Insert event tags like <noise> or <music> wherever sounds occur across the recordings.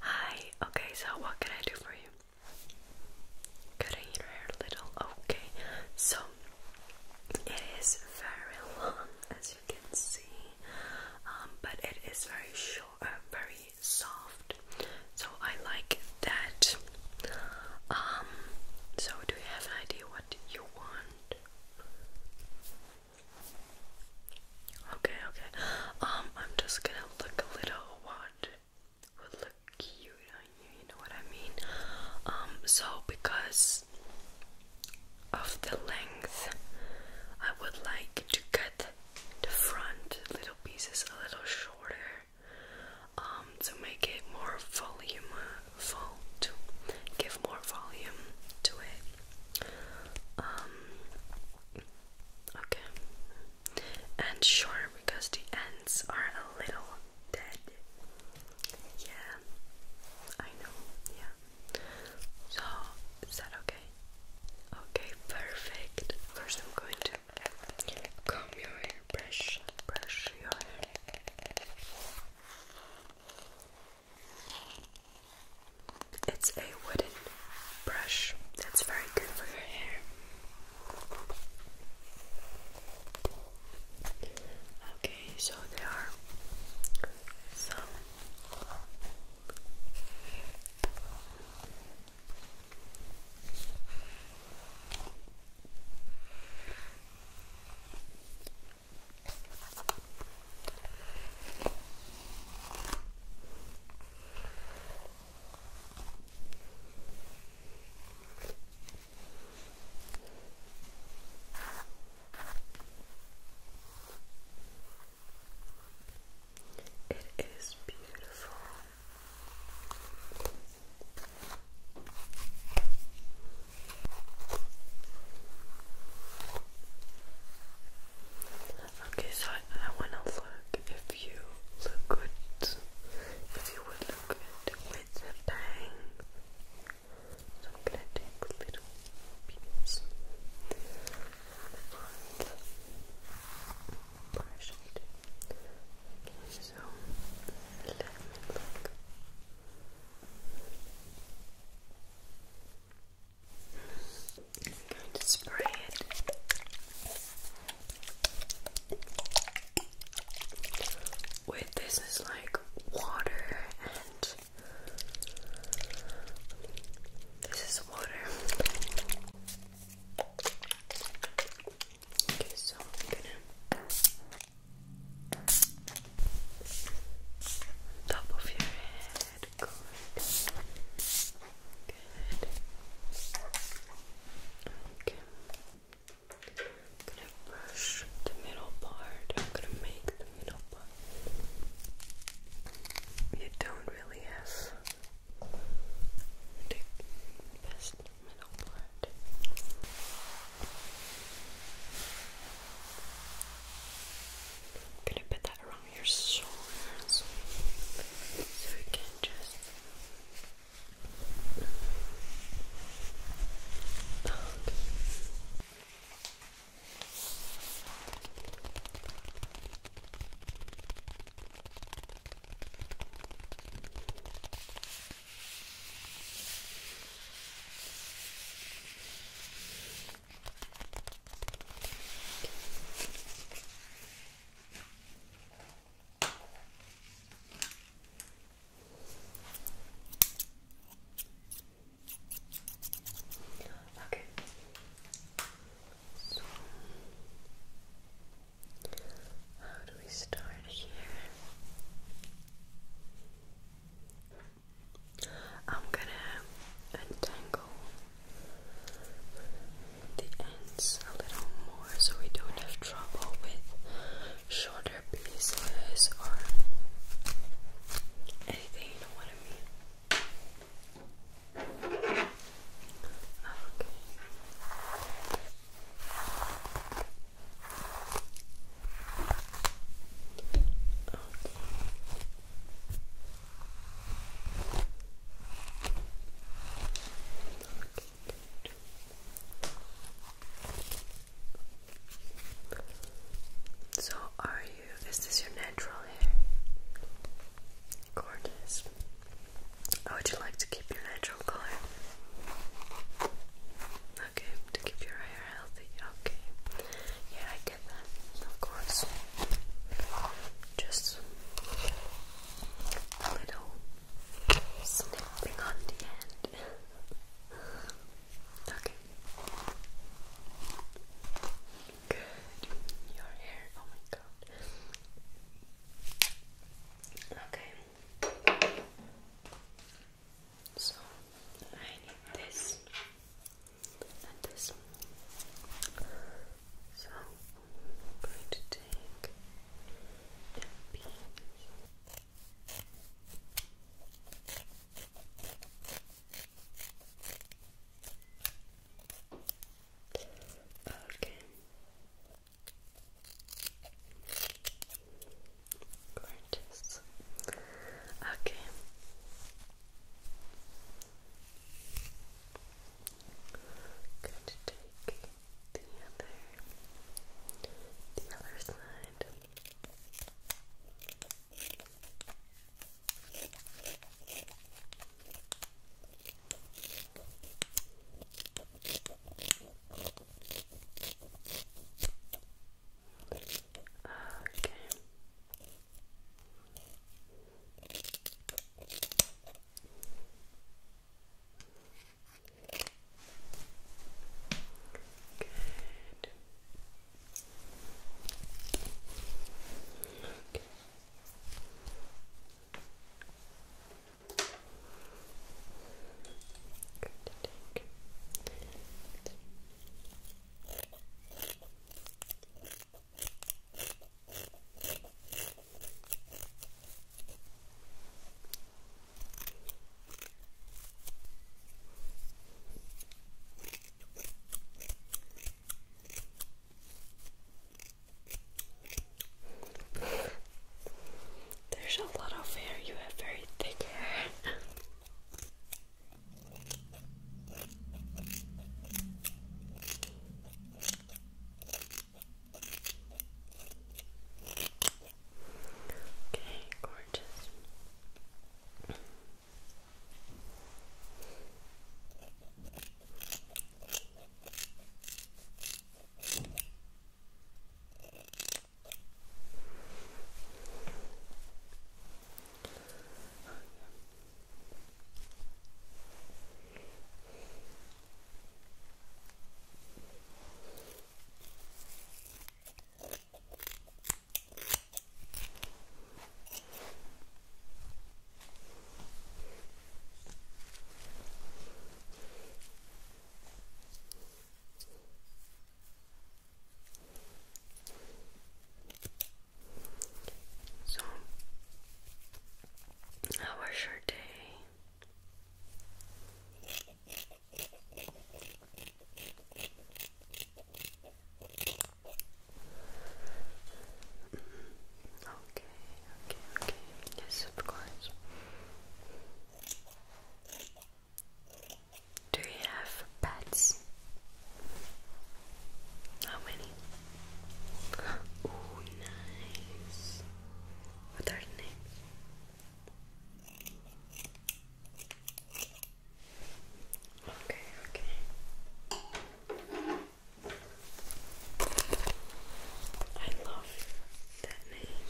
Hi, okay, so what can I do for you? Could I hear little? Okay, so it is very long as you can see, um, but it is very short, uh, very soft, so I like that. Um, so do you have an idea what you want? Okay, okay. Um, I'm just gonna look a little what would look cute on you, you know what I mean? Um, so because of the length, I would like to cut the front little pieces a little shorter um, to make it more volume, full, to give more volume to it. Um, Okay. And sure, because the ends are a little dead. Yeah, I know. Yeah. So, is that okay? Okay, perfect. First, I'm going to comb your hair, brush, brush your hair. It's a wooden brush that's very good for your hair. Okay, so there are some it is beautiful. Okay, so I, wanna look if you look good. If you would look good with bangs. So I'm gonna take little pieces and brush it. Okay, so let me look spray it wait this is like water and this is water okay so I'm gonna top of your head I'm gonna brush the middle part. I'm gonna make the middle part. You don't really have the best middle part. I'm gonna put that from your shoulders so you can just Okay. So, how do we start here? I'm gonna untangle the ends a little more so we don't have trouble with shorter pieces or anything, you know what I mean? Okay. So, are you? Is this your natural hair? Gorgeous. Oh, would you like to keep your natural color? Okay, to keep your hair healthy. Okay. Yeah, I get that. Of course. Just a little snipping on the end. <laughs> okay. Your hair. Oh my god. Okay. So I need this and this. So i going to take Okay. Gorgeous. Okay. I'm going to take the other, the other side. Okay. Good. Okay. Good. Good. There's a lot of hair, you have very thick hair. Okay, gorgeous. So, how was your day? Okay, okay, okay. Yes, of course. Do you have pets? How many? <gasps> Oh, nice. What are the names? Okay, okay. I love that name.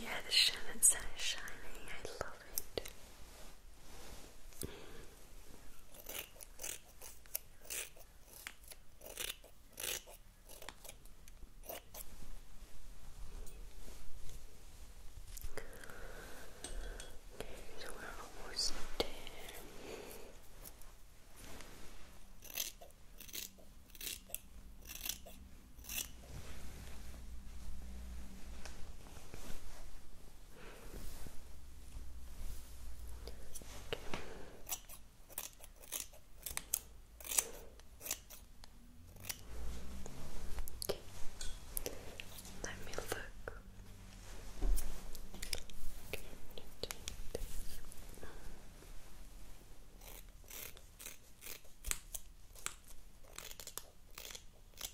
Yeah, the shaman's so shiny. I love it. Okay, so we're almost there. Okay. Let me look. Okay, Okay.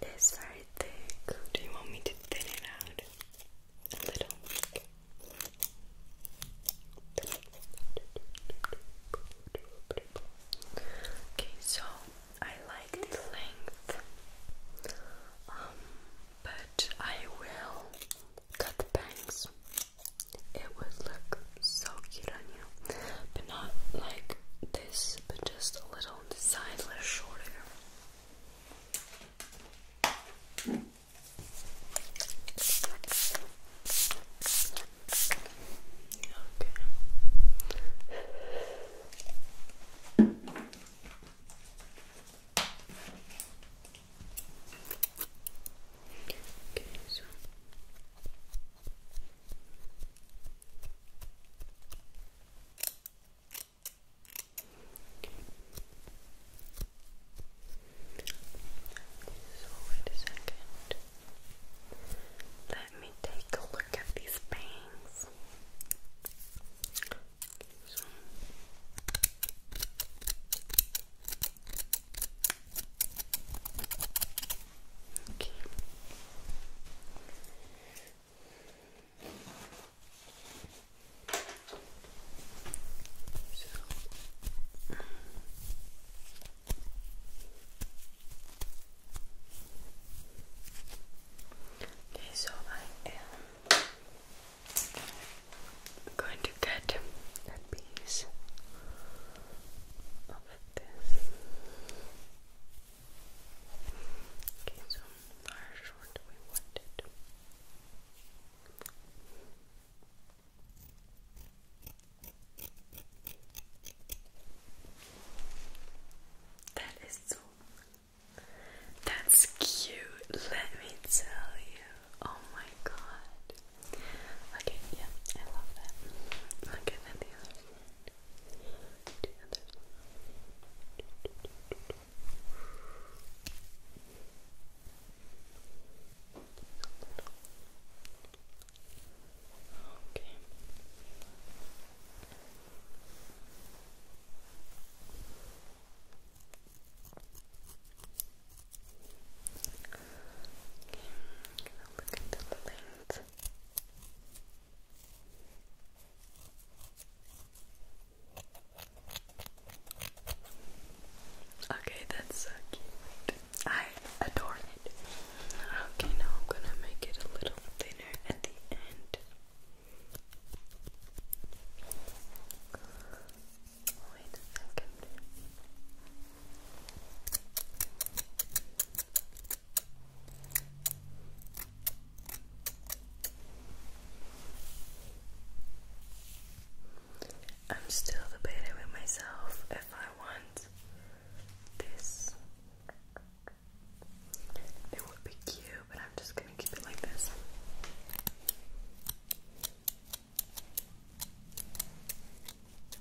It is very thick. Do you want me to thin it out a little? Okay, so I like the length, um, but I will cut the bangs. It would look so cute on you. But not like this, but just a little side, a little shorter. Okay. Okay, so so wait a second. Let me take a look at these bangs. Okay. Okay, so I am going to get a piece of this. Okay, so our short we wanted. That is so. That's cute. Let me tell you. Oh my god. Okay, yeah, I love that. Look at the other one the other Okay. Okay, I'm going the length. Okay, that's cute. I adore it. Okay, now I'm gonna make it a little thinner at the end. Wait a second. I'm still debating with myself if I want this. It would be cute, but I'm just gonna keep it like this.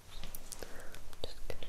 just gonna take a little bit. Okay.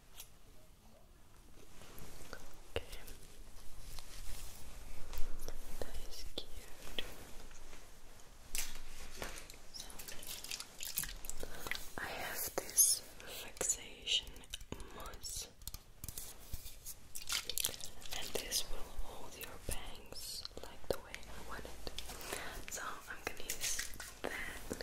Okay. That is cute. I have this fixation mousse, and this will hold your bangs like the way I want it. So, I'm gonna use that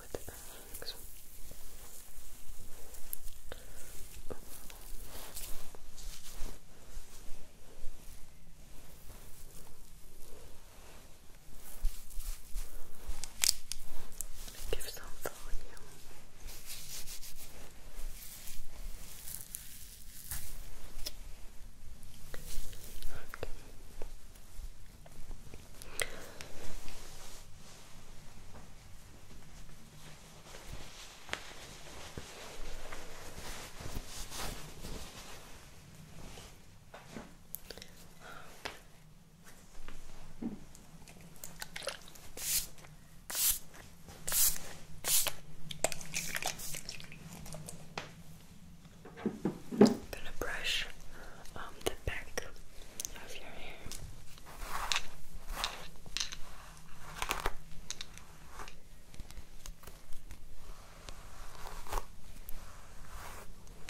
with the bags. Okay. Give some volume. Okay. Okay. I'm gonna brush um, the back of your hair.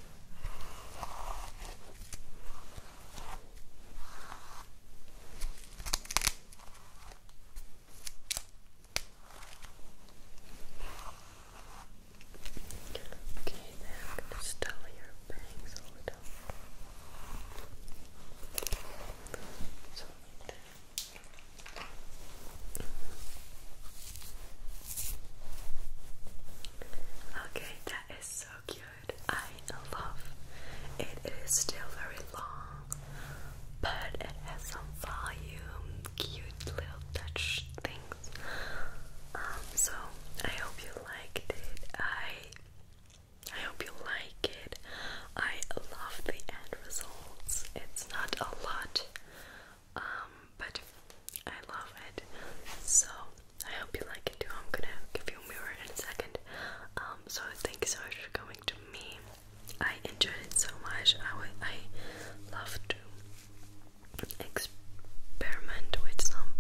Okay, now I'm going to style your bangs a little. So like that. Okay, that that is so cute. I love it. It is still very long, but it has some volume, cute little touch things. Um, so I hope you liked it. I I hope you like it. I love the end results. It's not a lot, um, but I love it. So I hope you like it too. I'm gonna give you a mirror in a second. Um, so thank you so much for coming to me. I enjoyed it so much. I I love to experiment with some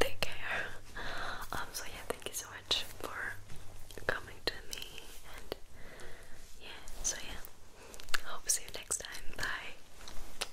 thick hair. Um, so yeah, thank you so much for coming to me. And yeah, so yeah, hope see you next time. Bye.